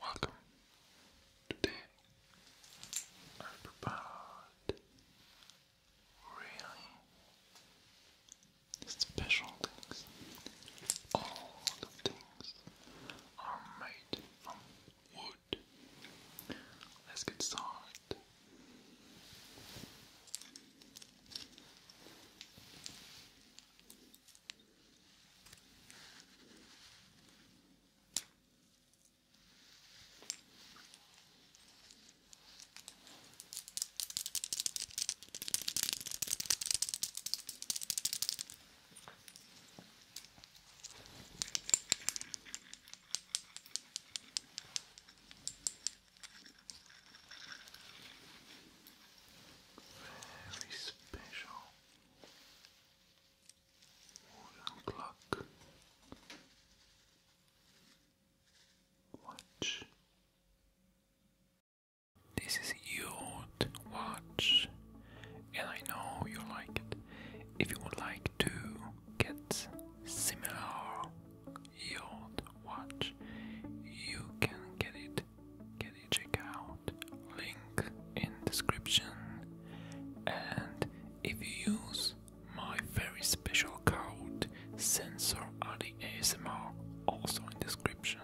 Welcome. Today I prepared really special things. All the things are made from wood. Let's get started. Very special wooden clock, watch. This is your watch, and I know you like it. If you would like to get similar your watch, you can get it can you check out link in description and if you use my very special code sensor ASMR also in description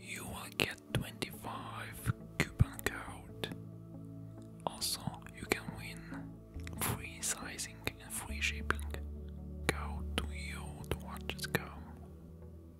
you will get 25 coupon code also you can win free sizing and free shipping go to your to go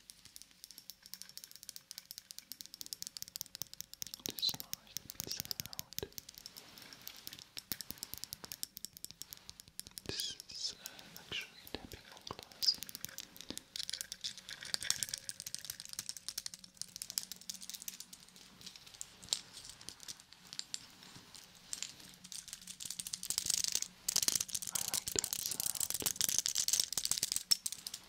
Just smash the pizza out. This is uh, actually tapping on glass. I like that sound.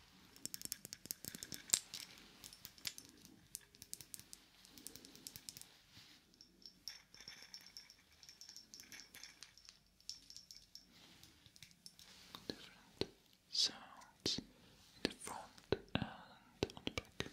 different sounds the front and on the back.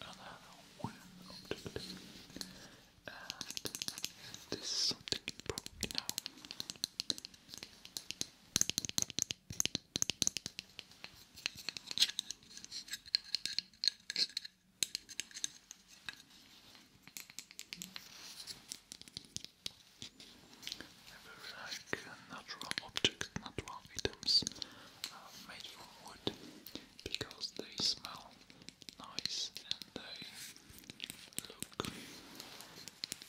another this is something you probably know. I like natural objects, natural items made from wood because they smell nice and they look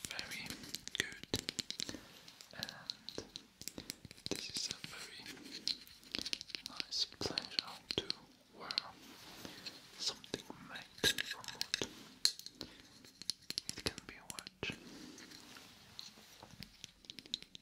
very good. And this is a very nice pleasure to wear something made from wood. It can be a watch.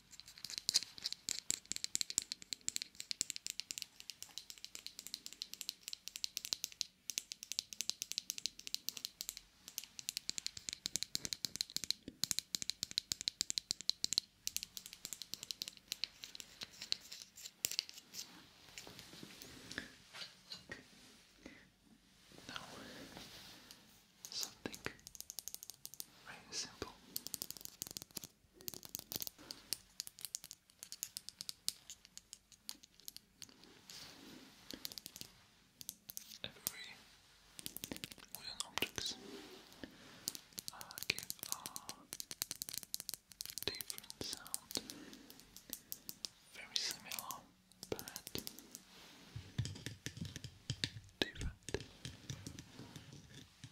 Okay. Now, something very simple Every wooden objects give a different sound, very similar but different.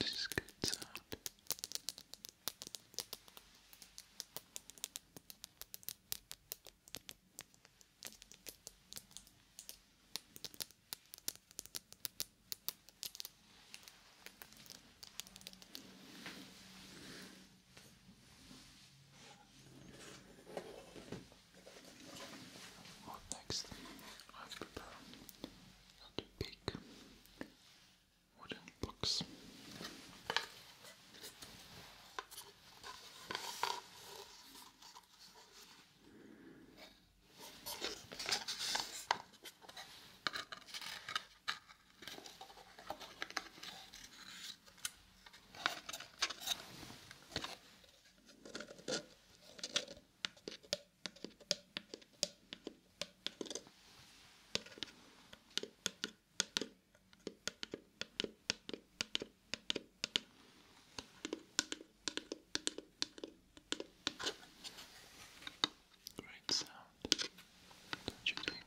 This is good sound. Well, next, I've prepared and big wooden blocks. Great sound, don't you think?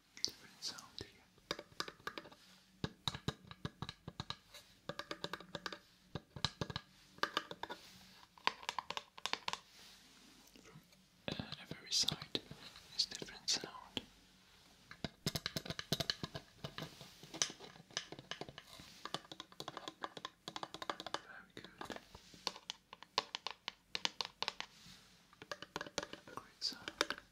different sound From every side is different sound. Very good. Great sound.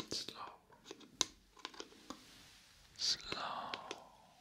And slow, slow,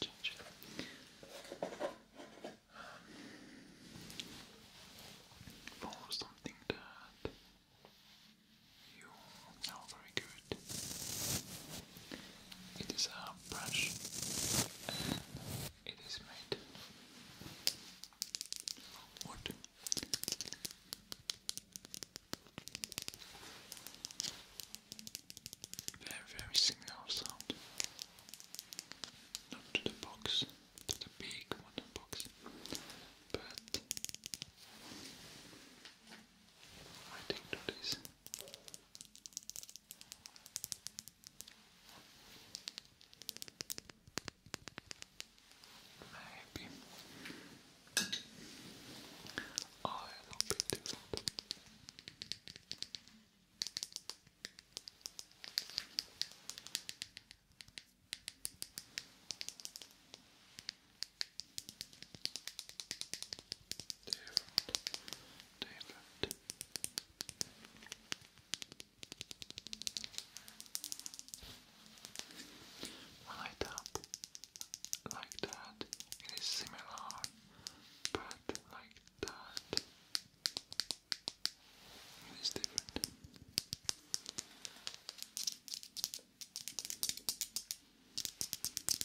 Change for something that you know very good. It is a brush it is made from wood. Very, very similar sound. Not to the box, to the big modern box, but I think to Maybe I'll be different. Different. David. When like that, it is similar, but like that, it is different.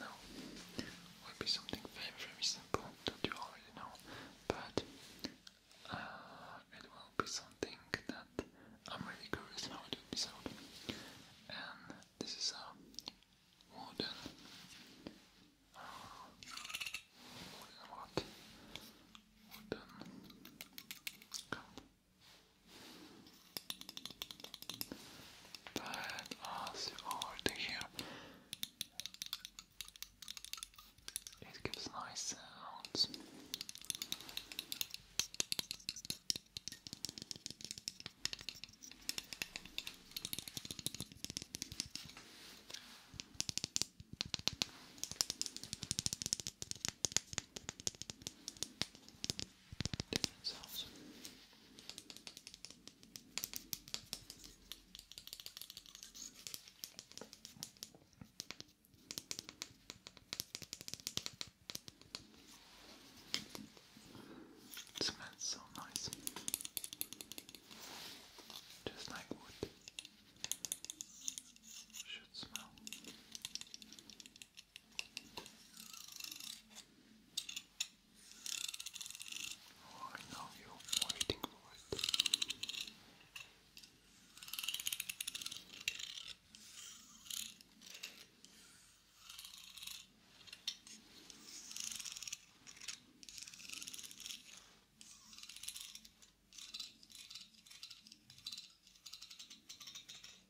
Now, will be something very, very simple that you already know, but uh, it will be something that I'm really curious how it would be sold. And this is a wooden, wooden uh, what? Wooden cup. Uh, that us over to here. It gives nice sounds different sounds. It smells so nice, just like wood should smell. Oh, I know you're waiting for it.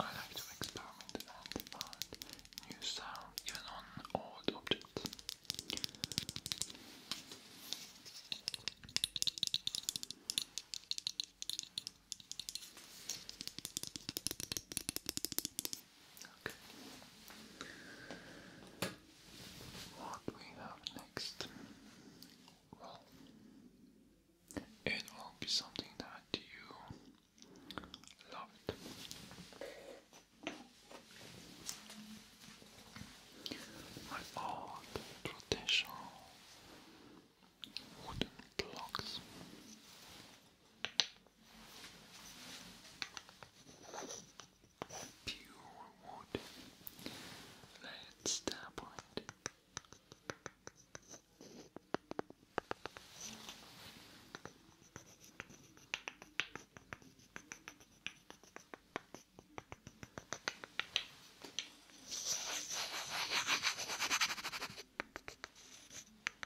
I like to experiment and find new sound even on old objects. Okay. What we have next? Well, it will be something that you loved. My old traditional wooden blocks. Pure wood. Let's tap on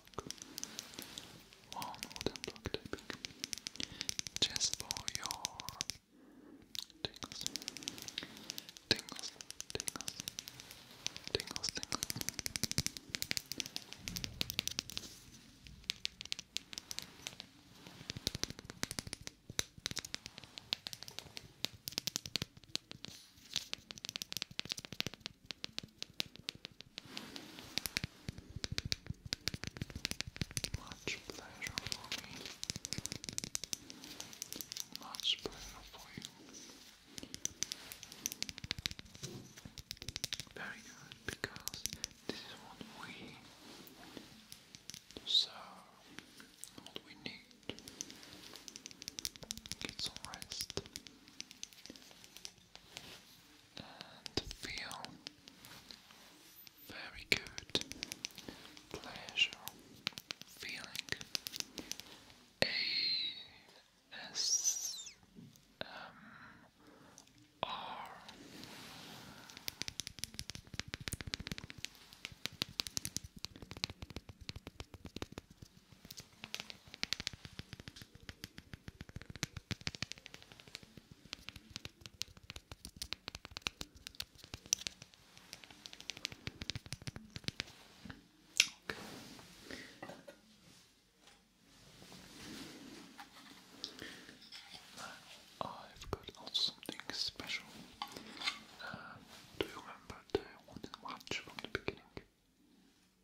block. One wooden block typing. Just for your Tingles, tingles, tingles, tingles. Tingles, much pleasure for me. Much pleasure for you. Very good, because this is what we deserve, what we need. Get some rest and feel very good pleasure feeling A S M R uh, I've got also something special. Uh, do you remember the one in from the beginning?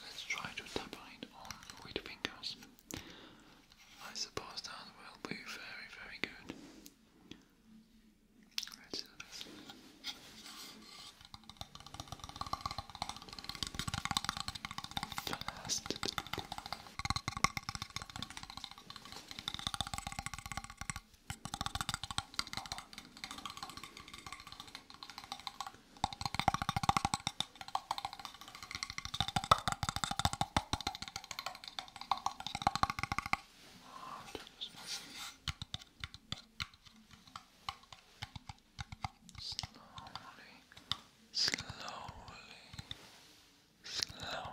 Let's try to tap it on with fingers. I suppose that will be very, very good. let Slowly, slowly, slow. Slow.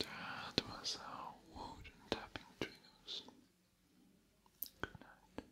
That was our wooden tapping triggers. Good night.